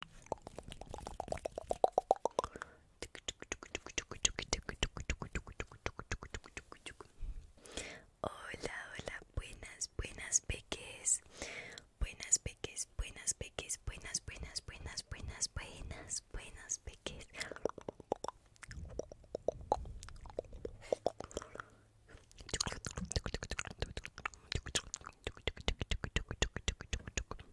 Hola, hola, buenas, buenas peques. Buenas peques, buenas peques, buenas, buenas, buenas, buenas, buenas, buenas peques.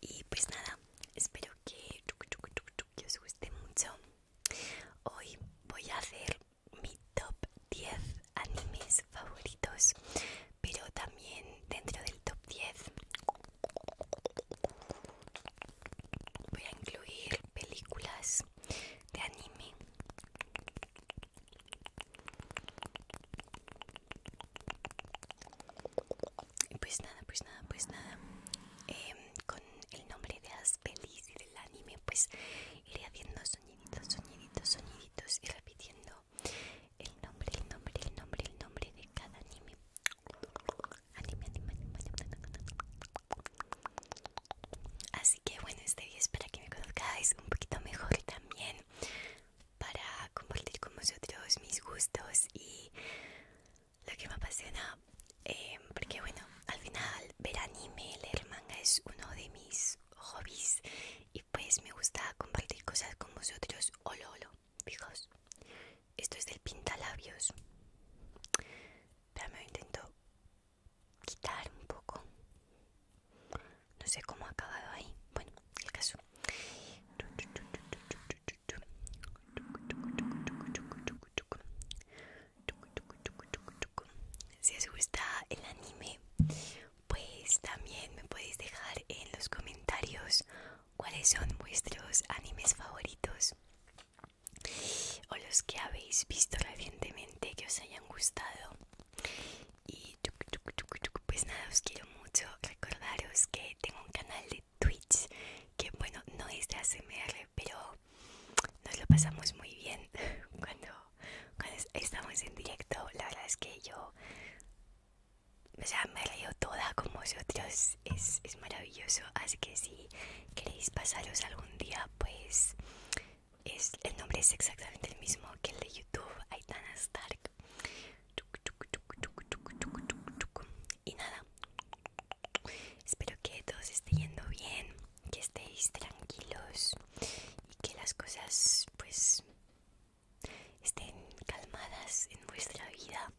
y pues nada espero que, que os guste mucho hoy voy a hacer mi top 10 animes favoritos pero también dentro del top 10 voy a incluir películas de anime pues nada, pues nada, pues nada. Em, con el nombre de las y del anime, pues iré haciendo soñiditos, soñiditos, soñiditos y repitiendo el nombre, el nombre, el nombre, el nombre de cada anime. Anime, anime, Así que bueno, este día espero que me conozcáis un poquito mejor también para compartir con vosotros mis gustos y lo que me apasiona. Eh, porque bueno, al final ver anime, leer manga es uno de mis hobbies y pues me gusta compartir cosas con vosotros. Olo, lo Esto es del pintalabios. Pero me intento quitar un poco. No sé cómo ha acabado ahí. Bueno, el caso. Si os gusta el anime, pues también me podéis dejar en los comentarios cuáles son vuestros animes favoritos o los que habéis visto recientemente que os hayan gustado. Y pues nada, os quiero mucho. Recordaros que tengo un canal de Twitch, que bueno, no es de ASMR, pero nos lo pasamos muy bien cuando, estamos en directo. La verdad es que yo o sea, me leo toda con vosotros, es, maravilloso. Así que si queréis pasaros algún día, pues es, el nombre es exactamente el mismo que el de YouTube, Aitana Stark. Y nada, espero que todos esté yendo bien, que estéis tranquilos y que las cosas pues estén calmadas en vuestra vida.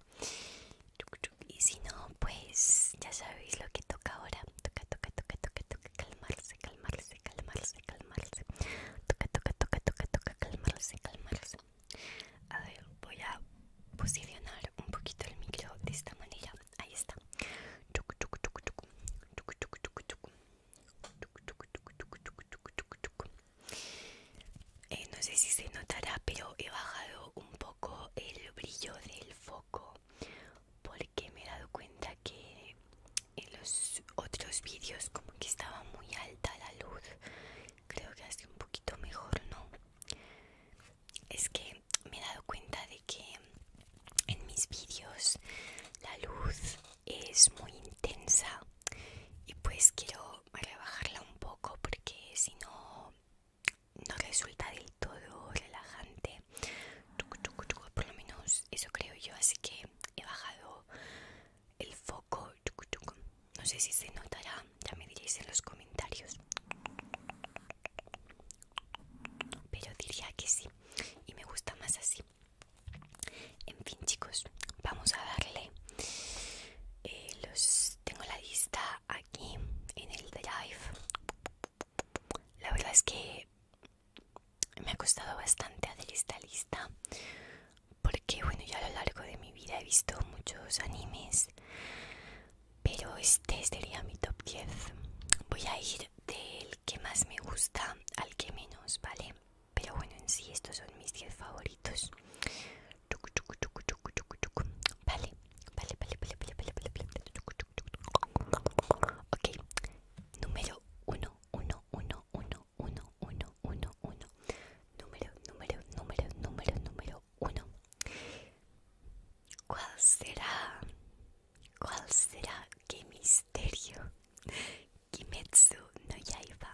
Y si no, pues ya sabéis lo que toca ahora. Toca, toca, toca, toca, toca, calmarse, calmarse, calmarse, calmarse. Toca, toca, toca, toca, toca, calmarse, calmarse. A ver, voy a posicionar un poquito el micro de esta manera. Ahí está. no sé si se notará, pero he bajado un poco el brillo del foco porque me he dado cuenta que en los otros vídeos como que estaba muy alta la luz creo que hace un poquito mejor, ¿no? Es que me he dado cuenta de que en mis vídeos la luz es muy intensa y pues quiero rebajarla un poco porque si no no resulta del todo relajante por lo menos eso creo yo así que he bajado el foco no sé si se notará ya me diréis en los comentarios pero diría que sí y me gusta más así en fin chicos vamos a darle eh, los tengo la lista aquí en el drive la verdad es que me ha costado bastante hacer esta lista porque bueno ya a lo largo de mi vida he visto muchos animes pero este sería mi top 10 voy a ir del que más me gusta al que menos vale pero bueno en sí estos son mis 10 favoritos vale vale vale vale vale vale vale vale ok número 1 1 1 1 1 1 número número número número número uno. ¿Cuál será? ¿Cuál será? ¿Qué misterio? Kimetsu no Yaiba.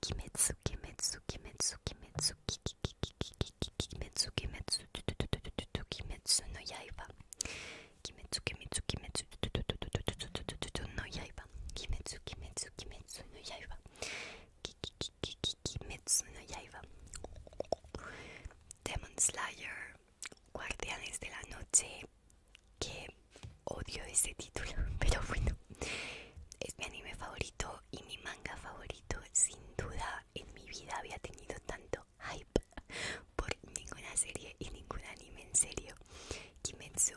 Kimetsu, Kimetsu, Kimetsu, Kimetsu, Kimetsu, Kimetsu, Kimetsu no Yaiba. Kimetsu, Kimetsu, Kimetsu, no Yaiba. Kimetsu, Kimetsu, Kimetsu no Yaiba. Kimetsu no Yaiba, Demon Slayer, Guardianes de la Noche, que odio ese título, pero bueno, es mi anime favorito y mi manga favorito. Sin duda, en mi vida había tenido tanto hype por ninguna serie y ningún anime en serio. Kimetsu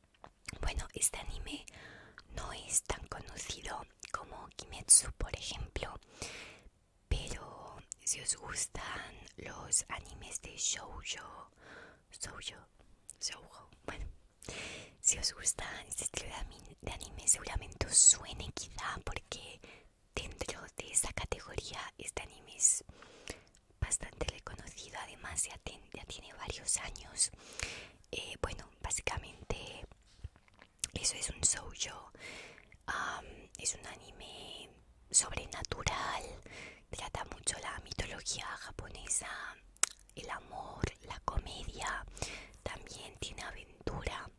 bueno, este anime no es tan conocido como Kimetsu, por ejemplo, pero si os gustan los animes de shoujo, shoujo, shoujo, bueno, si os gustan este estilo de anime seguramente os suene quizá porque dentro de esa categoría este anime es bastante reconocido, además ya, tiene varios años. Eh, bueno, básicamente eso es un shoujo, es un anime sobrenatural, trata mucho la mitología japonesa, el amor, la comedia, también tiene aventura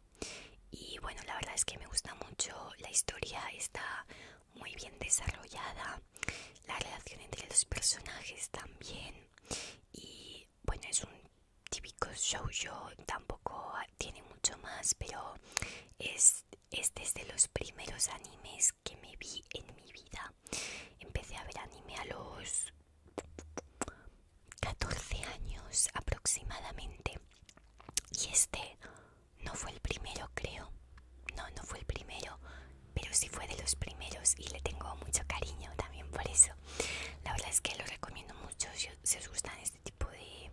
y bueno, la verdad es que me gusta mucho, la historia está muy bien desarrollada la relación entre los personajes también y bueno es un típico show tampoco ah, tiene mucho más pero es este es de los primeros animes que me vi en mi vida empecé a ver anime a los 14 años aproximadamente y este no fue el primero creo no, no fue el primero, pero sí fue de los primeros y le tengo mucho cariño también por eso. La verdad es que lo recomiendo mucho si, os gustan este tipo de,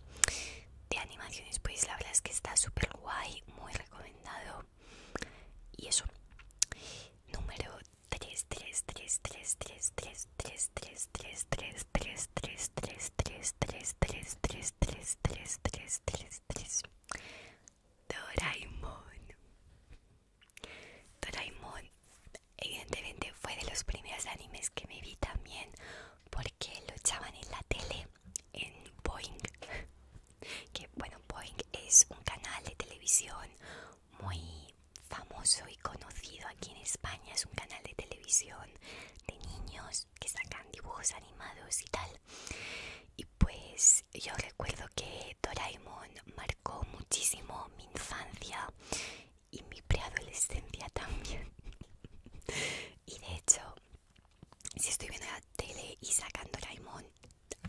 animaciones, pues la verdad es que está súper guay, muy recomendado. Y eso, número 3, 3, 3, 3, 3, 3, 3, 3, 3, 3, 3, 3, 3, 3, 3, 3, 3, 3, 3, 3, 3, 3, 3, Doraemon. Doraemon evidentemente fue de los primeros animes que me vi también porque lo echaban en la tele en Boeing. Que bueno, Boeing es un canal de televisión muy famoso y conocido aquí en España. Es un canal de televisión de niños que sacan dibujos animados y tal. Y pues yo recuerdo que Doraemon marcó muchísimo mi infancia y mi preadolescencia también. y de hecho, si estoy viendo la tele y sacan Doraemon,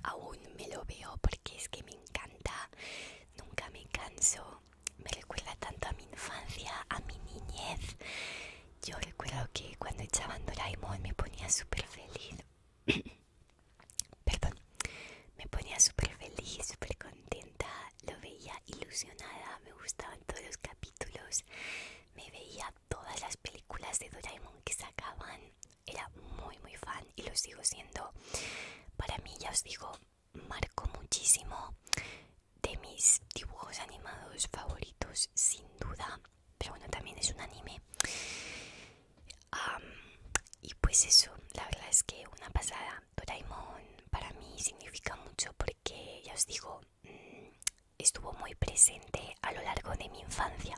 aún me lo veo porque es que me encanta, nunca me canso, me recuerda tanto a mi infancia, a mi niñez. Yo recuerdo que cuando echaban Doraemon me ponía súper feliz Perdón. Me ponía súper feliz, súper contenta. Lo veía ilusionada. Me gustaban todos los capítulos. Me veía todas las películas de Doraemon que sacaban. Era muy, muy fan y lo sigo siendo. Para mí, ya os digo, marcó muchísimo de mis dibujos animados favoritos, sin duda pero bueno, también es un anime. y pues eso, la verdad es que una pasada. Doraemon para mí significa mucho porque, ya os digo, mm, estuvo muy presente a lo largo de mi infancia.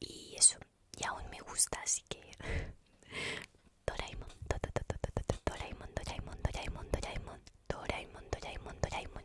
Y eso, y aún me gusta, así que... Doraemon, Doraemon, Doraemon, Doraemon, Doraemon, Doraemon, Doraemon, Doraemon.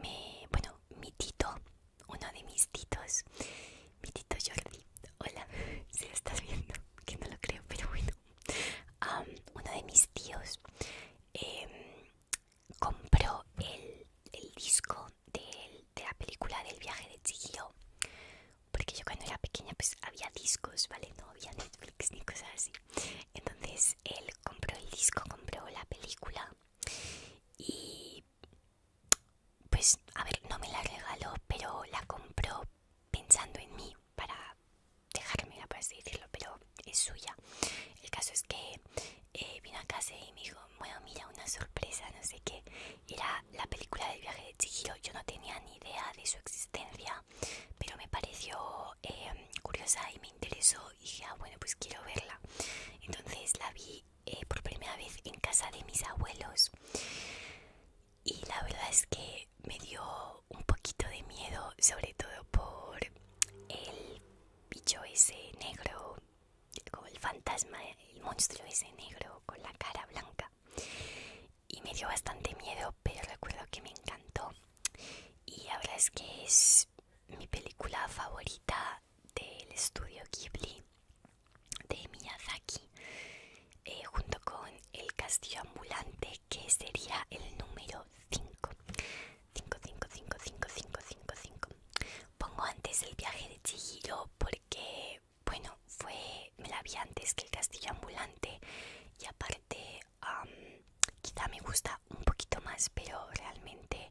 me, bueno, mi tito, uno de mis titos, mi tito Jordi, hola, si lo estás viendo, que no lo creo, pero bueno, uno de mis tíos em, compró el, disco de la película del viaje de Chihiro, porque yo cuando era pequeña pues había discos, ¿vale? No había Netflix ni cosas así. Entonces él compró el disco, compró la película y pues a ver, no me la regaló, pero la compró pensando en mí para dejarme, por así decirlo, pero es suya. El caso es que eh, vino a casa y me dijo, bueno, mira, una sorpresa, no sé qué. Era la película del viaje de Chihiro, yo no tenía ni idea de su existencia, pero me pareció eh, curiosa y me interesó y dije, ah, bueno, pues quiero verla. Entonces la vi eh, por primera vez en casa de mis abuelos y la verdad es que me dio un poquito de miedo sobre todo por el bicho ese negro como el fantasma el monstruo ese negro con la cara blanca y me dio bastante miedo pero recuerdo que me encantó y la verdad es que es mi película favorita del estudio Ghibli de Miyazaki eh, junto con El Castillo Ambulante que sería el número 5 5, pongo antes El Viaje de Chihiro porque bueno fue me la vi antes que El Castillo Ambulante y aparte quizá me gusta un poquito más pero realmente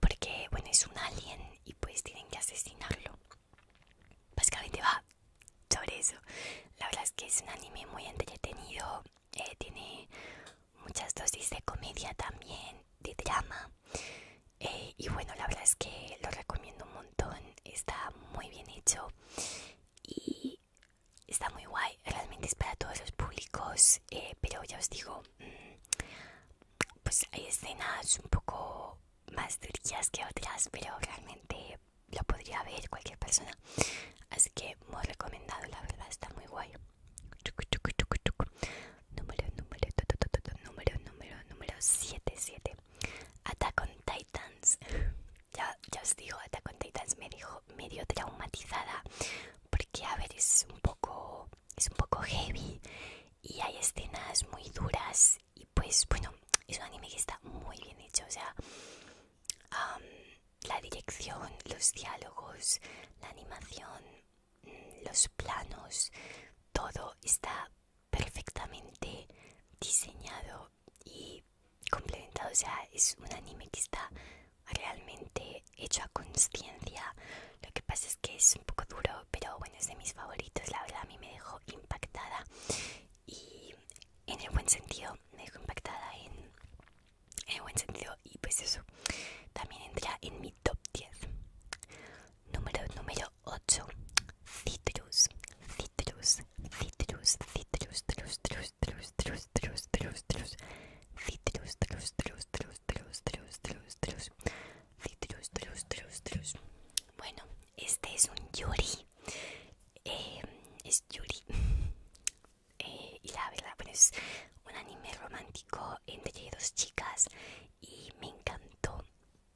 porque, bueno, es un alien y pues tienen que asesinarlo. Básicamente va sobre eso. La verdad es que es un anime muy entretenido. Eh, tiene muchas dosis de comedia también, de drama. Eh, y bueno, la verdad es que lo recomiendo un montón. Está muy bien hecho. Y está muy guay realmente es para todos los públicos, eh, pero ya os digo, mm, pues hay escenas un poco más durillas que otras, pero realmente lo podría ver cualquier persona. Así que muy recomendado, la verdad, está muy guay. Número, número, número, número, número 7, 7. Attack on Titans. ya, os digo, Attack on Titans me dijo medio traumatizada porque a ver es un poco es un poco heavy y hay escenas muy duras y pues bueno es un anime que está muy bien hecho o sea la dirección los diálogos la animación mm, los planos todo está perfectamente diseñado y complementado o sea es un anime que está realmente hecho a conciencia. Lo que pasa es que es un poco duro, pero bueno, es de mis favoritos. La verdad, a mí me dejó impactada y en el buen sentido, me dejó impactada en, en el buen sentido. Y pues eso también entra en mi top 10. Número, número 8: Citrus, citrus, citrus, citrus, citrus, citrus, citrus, citrus, citrus, citrus, citrus, citrus citrus, trus, trus, trus, trus, trus, trus, trus, trus, trus, trus. Bueno, este es un yuri, em, es yuri, eh, y la verdad, bueno, es un anime romántico entre dos chicas y me encantó,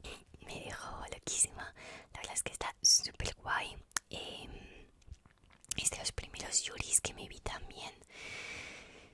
me dejó loquísima, la verdad es que está súper guay. Em, es de los primeros yuris que me vi también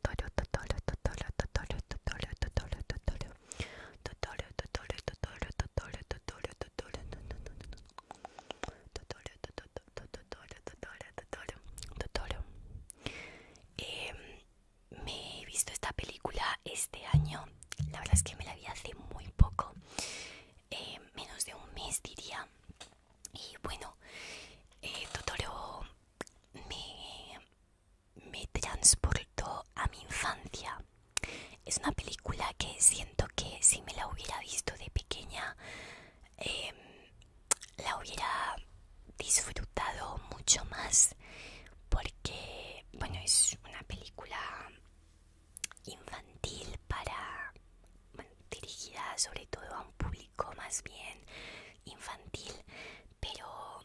Totoro, Totoro, Totoro, Totoro, Totoro, Totoro, Totoro, Totoro, Totoro, Totoro, Totoro, Totoro, Totoro, Totoro, me he visto esta película este año, la verdad es que me la vi hace muy poco, menos de un mes diría. Y bueno, Totoro Totoro me, me transportó a mi infancia. Es una película que siento que si me la hubiera visto de pequeña, em, la hubiera disfrutado mucho más porque, bueno, es una película infantil para, dirigida sobre todo a un público más bien infantil, pero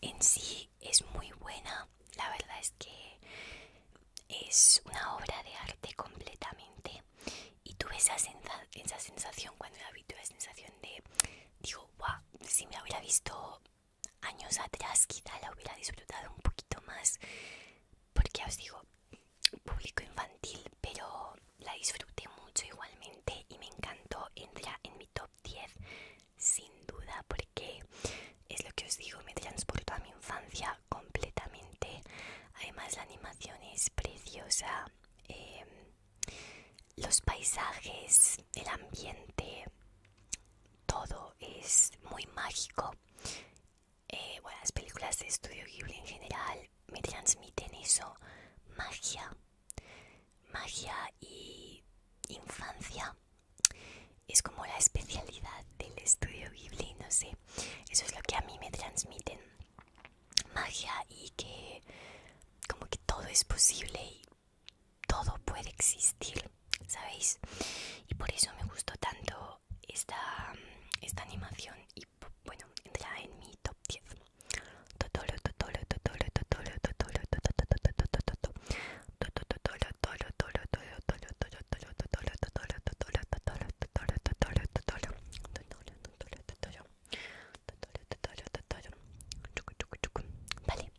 en sí es muy buena. La verdad es que es una obra de arte completamente y tuve esa, esa sensación cuando la vi, tuve la sensación de, digo, wow, si me la hubiera visto años atrás quizá la hubiera disfrutado un poquito más porque os digo público infantil pero la disfruté mucho igualmente y me encantó. Entra en mi top 10 sin duda porque es lo que os digo, me transportó a mi infancia completamente. Además la animación es preciosa. Em, los paisajes, el ambiente, todo es muy mágico. Eh, bueno, las películas de Estudio Ghibli en general me transmiten eso, magia, magia y infancia. Es como la especialidad del estudio Ghibli, no sé, eso es lo que a mí me transmiten, magia y que como que todo es posible y todo puede existir, ¿sabéis? Y por eso me gustó tanto esta, animación bueno, entra en mi top 10. Vale,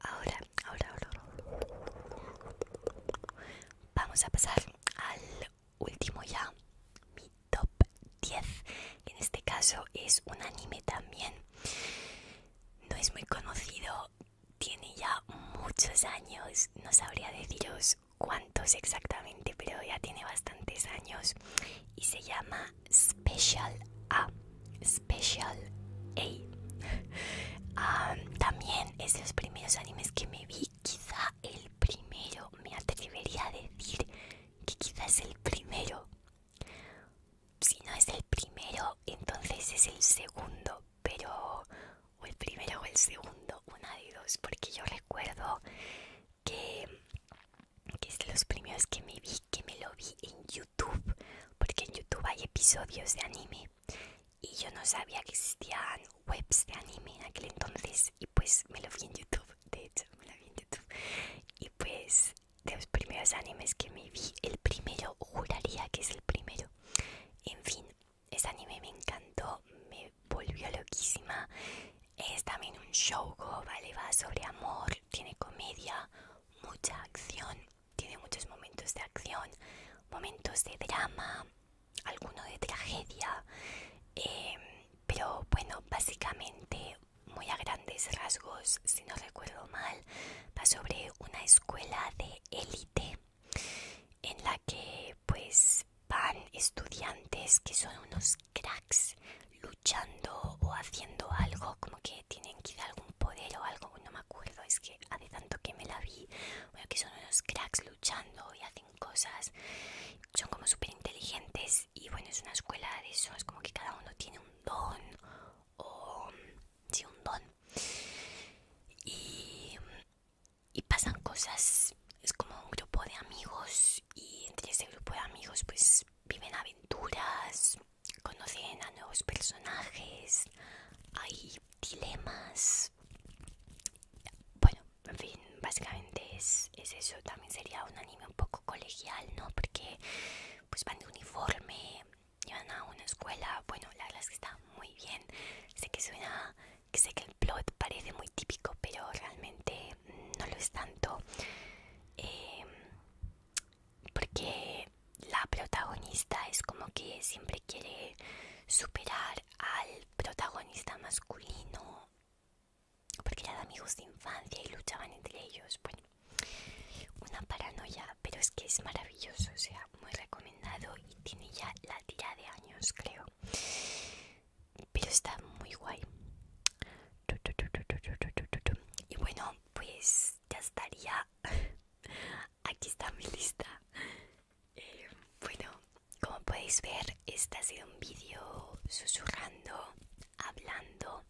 ahora, ahora, vamos a pasar al último ya, mi top 10, en este caso es un anime también. No es muy conocido, tiene ya muchos años, no sabría deciros cuántos exactamente, pero ya tiene bastantes años y se llama Special A. Special A. Ah, también es de los primeros animes que me vi, quizá el primero, me atrevería a decir que quizás el primero. Si no es el primero, entonces es el segundo, pero o el primero o el segundo, una de dos, porque yo recuerdo que, que es de los primeros que me vi, que me lo vi en YouTube, porque en YouTube hay episodios de anime y yo no sabía que existían webs de anime en aquel entonces y pues me lo vi en YouTube, de hecho me lo vi en YouTube y pues de los primeros animes que me vi, el primero juraría que es el primero, en fin, Ese anime me encantó, me volvió loquísima, es también un shoujo, vale, va sobre amor, tiene comedia, mucha acción, tiene muchos momentos de acción, momentos de drama, alguno de tragedia, em, pero bueno, básicamente muy a grandes rasgos, si no recuerdo mal, va sobre una escuela de élite en la que pues van estudiantes que son unos cracks luchando o haciendo algo como que tienen que quizá algún poder o algo, no me acuerdo, es que hace tanto que me la vi, bueno, que son unos cracks luchando y hacen cosas, son como súper inteligentes y bueno, es una escuela de eso, es como que cada uno tiene un don o sí, un don y, y pasan cosas, es como un grupo de amigos y entre ese grupo de amigos pues viven aventuras, conocen a nuevos personajes, hay dilemas, bueno, en fin, básicamente es eso, también sería un anime un poco colegial, ¿no? Porque pues van de uniforme, van a una escuela, bueno, la verdad que está muy bien. Sé que suena, que sé que el plot parece muy típico, pero realmente no lo es tanto. Em, porque la protagonista es como que siempre quiere superar al protagonista masculino porque eran amigos de infancia y luchaban entre ellos. Bueno, una paranoia, pero es que es maravilloso, o sea, muy recomendado y tiene ya la tira de años, creo. Pero está muy guay. Y bueno, pues ya estaría. Aquí está mi lista. Eh, bueno, como podéis ver, este ha sido un vídeo susurrando hablando.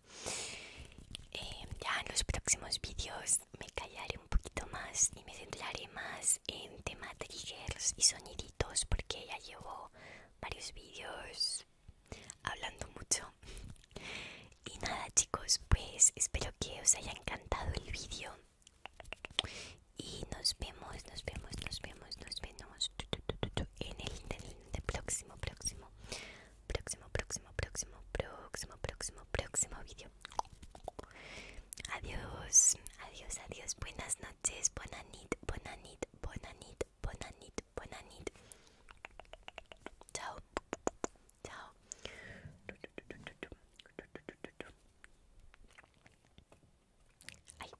Em, ya en los próximos vídeos me callaré un poquito más y me centraré más en tema triggers y soniditos porque ya llevo varios vídeos hablando mucho. Y nada chicos, pues espero que os haya encantado el vídeo. Y nos vemos, nos vemos, nos vemos, nos vemos en el, en de próximo, próximo, próximo, próximo, próximo, próximo, próximo, próximo vídeo. Adiós, adiós, adiós. Buenas noches, buena nid buena nit, buena nid buena nit, buena nid Chao, chao. Ay.